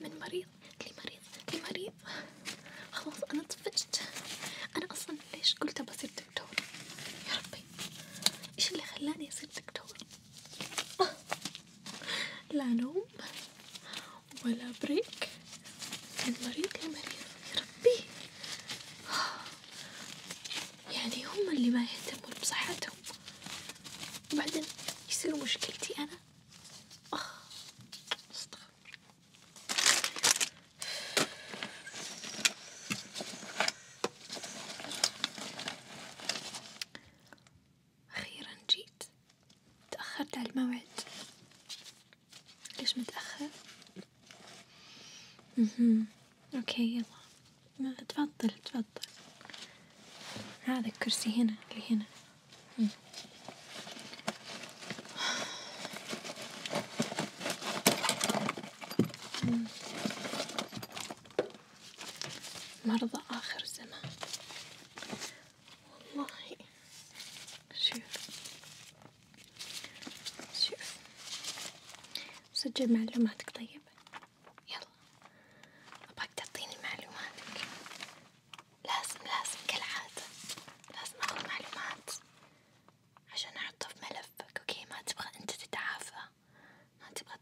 من مريض لمريض لمريض خلاص أنا طفشت أنا أصلا ليش قلت بصير دكتور يا ربي إيش اللي خلاني أصير دكتور أه. لا لوم ولا بريك من مريض لمريض يربيه يعني هم اللي ما يهتمون بصحتهم وبعدين يصير مشكلتي أنا أخيرا جيت تأخرت على الموعد ليش متأخر؟ مهم. أوكي يلا تفضل تفضل هذا الكرسي هنا اللي هنا مرضى آخر زمان والله شوف شوف سجل معلوماتك طيب يلا أبغاك تعطيني معلوماتك لازم لازم كالعادة لازم أخذ معلومات عشان أحطها في ملفك أوكي ما تبغى أنت تتعافى ما تبغى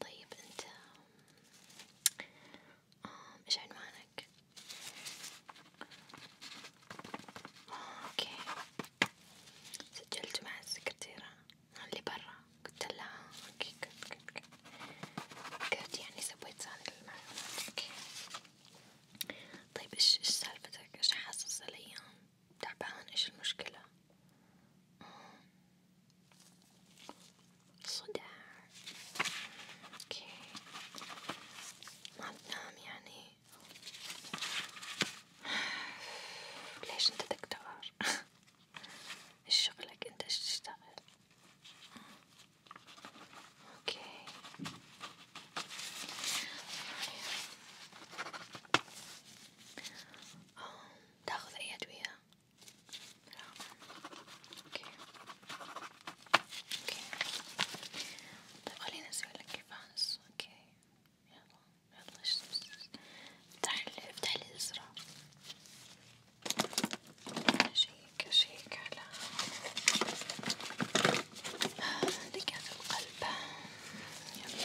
طيب انت ايش عنوانك؟ اوكي سجلت مع السكرتيرة اللي برا قلت لها اوكي قلت قلت يعني سويت ثاني المعلومات اوكي طيب ايش ايش سالفتك؟ ايش حاسس الأيام؟ تعبان إيش المشكلة آه. صداع اوكي ما بتنام يعني ليش انت تكتار ايش شغلك انت ايش تشتغل اوكي أوه. تاخذ أي أدوية؟ لا اوكي اوكي طيب خليني اسويلك كفاز اوكي يلا يلا افتحلي افتحلي الازرار اشيك اشيك على آه، لقيت القلب يلا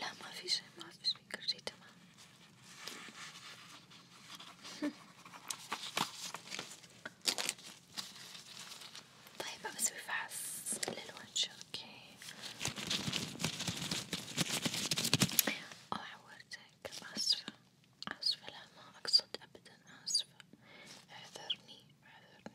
لا ما في شي ما في شي كل شي تمام طيب بسوي فحص للوجه اوكي او عورتك اسفة اسفة لا ما اقصد ابدا اسفة اعذرني rather than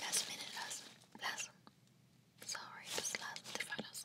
Last minute, last, last. Sorry, this last minute I was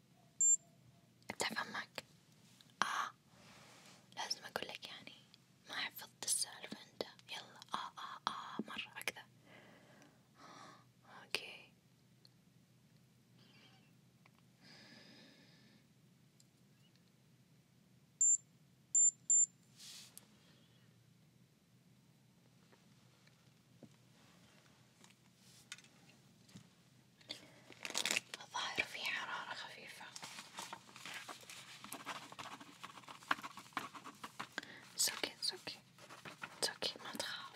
بتعرف أمك؟ آه لازم أقولك يعني ما حفظت السالفة أنت يلا آه آه آه مرة أكثر آه أوكي الظاهر في حرارة خفيفة سوكي سوكي سوكي ما تخاف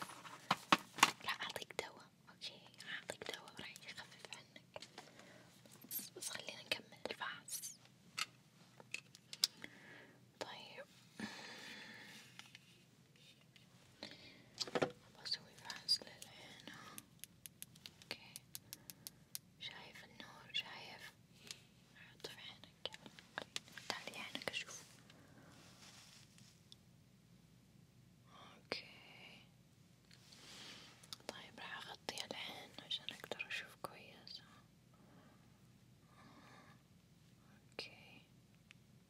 راح أعطيك دواء أوكي راح أعطيك دواء راح يخفف عنك بس, بس خلينا نكمل الفحص طيب بسوي فحص للعين اوكي شايف النور شايف حط في عينك تعالي عينك اشوف اوكي طيب راح اغطي العين عشان اقدر اشوف كويس اوكي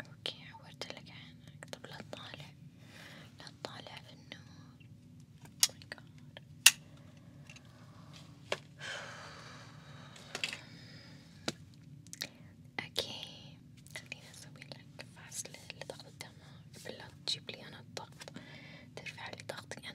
اوكي عورتلك عينك طب لا تطالع لا تطالع في النور oh اوكي خليني اسوي لك فاصل لضغط الدماغ بالله تجيب لي انا الضغط ترفع لي ضغطي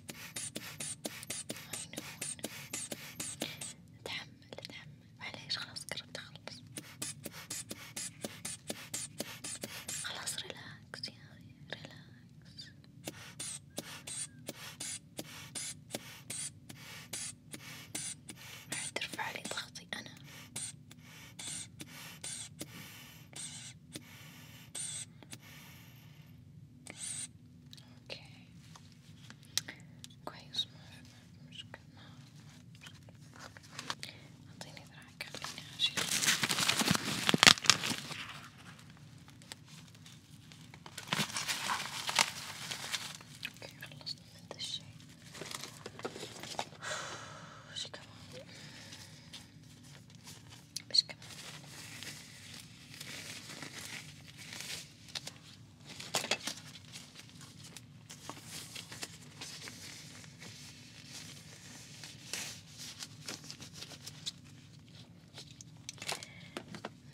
اتحمل اتحمل معليش خلاص قربت اخلص خلاص ريلاكس يا ريلاكس راح ترفع لي ضغطي انا Okay. Quite smooth. I'm just gonna. i Okay, I lost them in this she come on. باش كمان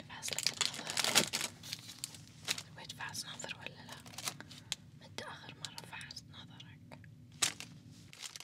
نفحص لك النظر بغيت فحص نظر ولا لا؟ متى آخر مرة فحصت نظرك؟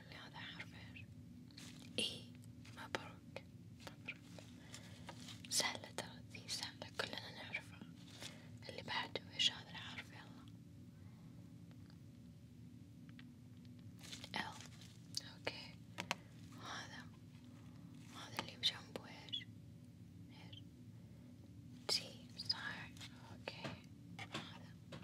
قول لي هذا حرفين إيه مبروك مبروك سهلة ترى ذي سهلة كلنا نعرفها اللي بعده إيش هذا الحرف يلا ال أوكي وهذا وهذا اللي بجنبه إيش إيش تي صح أوكي هذا هذا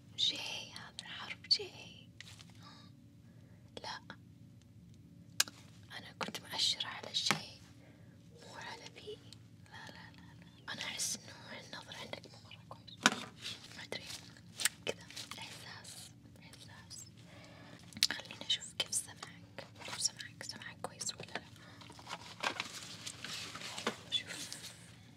جاي هذا الحرف جاي لا أنا كنت مأشرة على شيء مو على بي لا لا لا, لا. أنا أحس إنه النظر عندك مو مرة كويس ما أدري كذا إحساس إحساس خليني أشوف كيف سمعك كيف سمعك سمعك كويس ولا لا شوف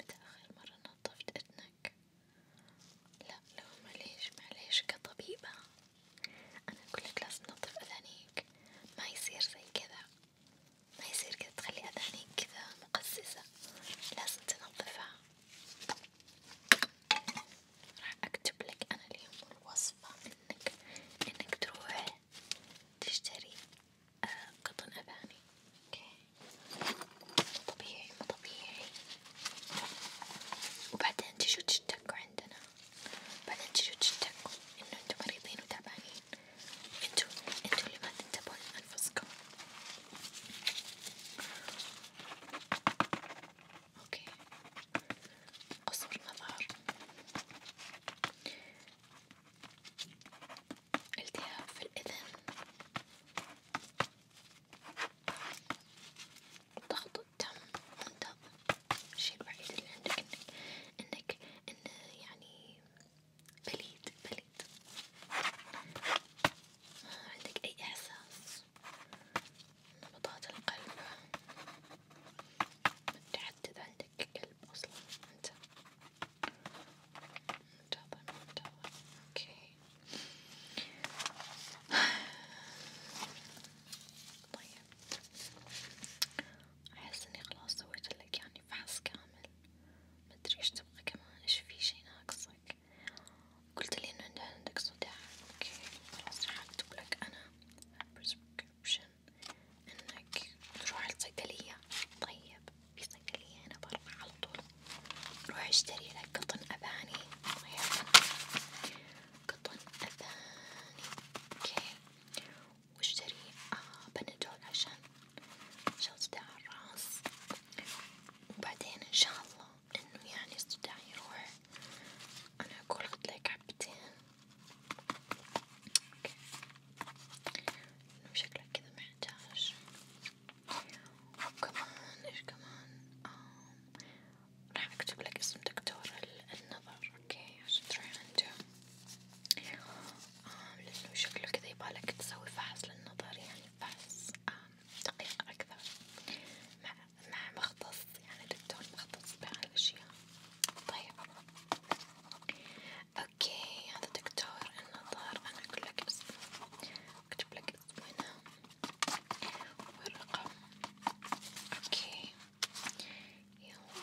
متى آخر مرة نظفت أذنك؟ لا لو معليش معليش كطبيبة أنا أقولك لازم تنظف أذانيك ما يصير زي كذا ما يصير كذا تخلي أذانيك كذا مقززة لازم تنظفها راح أكتب لك أنا اليوم الوصفة إنك إنك تروح تشتري آه، قطن أباني أوكي مو طبيعي مو طبيعي وبعدين تجوا تشتكوا عندنا بعدين تجوا تشتكوا إنه انتو مريضين وتعبانين انتو انتو اللي ما تنتبهون لأنفسكم اوكي قصر نظار التهاب في الأذن ضغط الدم منتظم الشي الوحيد اللي عندك انك انك انه يعني بليد بليد ما عندك اي احساس نبضات القلب متعدد عندك عندك كلب أصلا أنت منتظر منتظر أوكي طيب أحس إني خلاص سويت لك يعني فحص كامل مدري إيش تبغى كمان إيش في شي ناقصك قلت لي إنه عندك صداع أوكي خلاص راح أكتب لك أنا بريسكربشن إنك تروح الصيدلية، طيب في صيدلية هنا برا على طول، روح اشتري لك قطن أباني، طيب قطن أباني، أوكي، واشتري آه بنادول عشان عشان صداع الراس، وبعدين إن شاء الله إنه يعني الصداع يروح، أنا أقول لك حبتين اوكي انه شكلك كذا محتاج وكمان ايش كمان آه. راح اكتب لك اسم دكتور النظر اوكي عشان تروح عنده آه. لانه شكله كذا يبالك تسوي فحص للنظر يعني فحص آه. دقيق اكثر مع مع مختص يعني دكتور مخطط صباح على الأشياء طيب اوكي هذا دكتور النظر انا اقول لك اسمه اكتب لك اسمه هنا والرقم اوكي يلا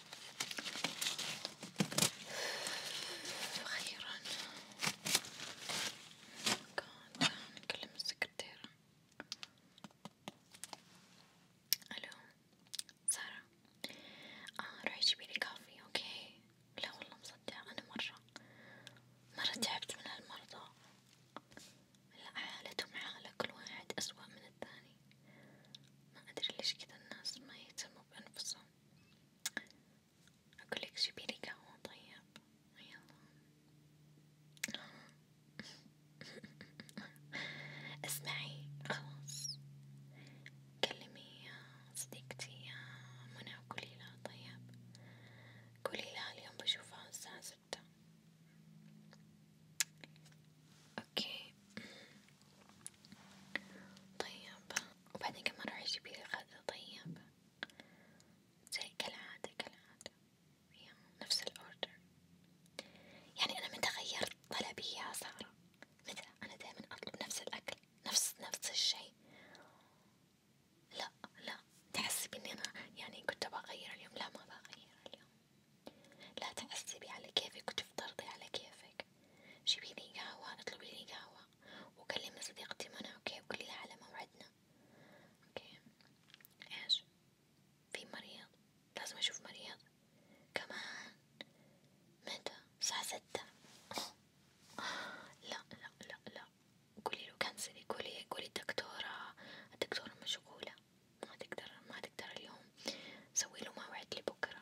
أخيرا كنت نكلم السكرتيرة ألو سارة آه روحي جيبيلي كافي أوكي لا والله مصدقة أنا مرة مرة تعبت من هالمرضى لا حالتهم حالة كل واحد أسوأ من الثاني ما أدري ليش كذا الناس ما يهتموا بأنفسهم أقولك جيبيلي قهوة طيب يلا اسمعي خلاص كلمي صديقتي منى وقولي لها طيب قولي لها اليوم بشوفها الساعة ستة اوكي طيب وبعدين كمان راح يجيبلي غدا طيب زي كالعادة كالعادة نفس الأوردر يعني أنا متى غيرت طلبي يا سارة متى أنا دايما أطلب نفس الأكل نفس نفس الشي لا لا تحسبي إني أنا يعني كنت بغير اليوم لا ما بغير اليوم لا تحسبي على كيفك وتفضلي على كيفك جيبي لي قهوة اطلبي لي قهوة وكلمي صديقتي منى اوكي وقولي لها على موعدنا اوكي ايش في مريض لازم اشوف مريض كمان متى الساعة ستة لا لا لا لا قولي له كنسلي قولي قولي الدكتورة الدكتورة مشغولة ما تقدر ما تقدر اليوم سوي له موعد لبكرة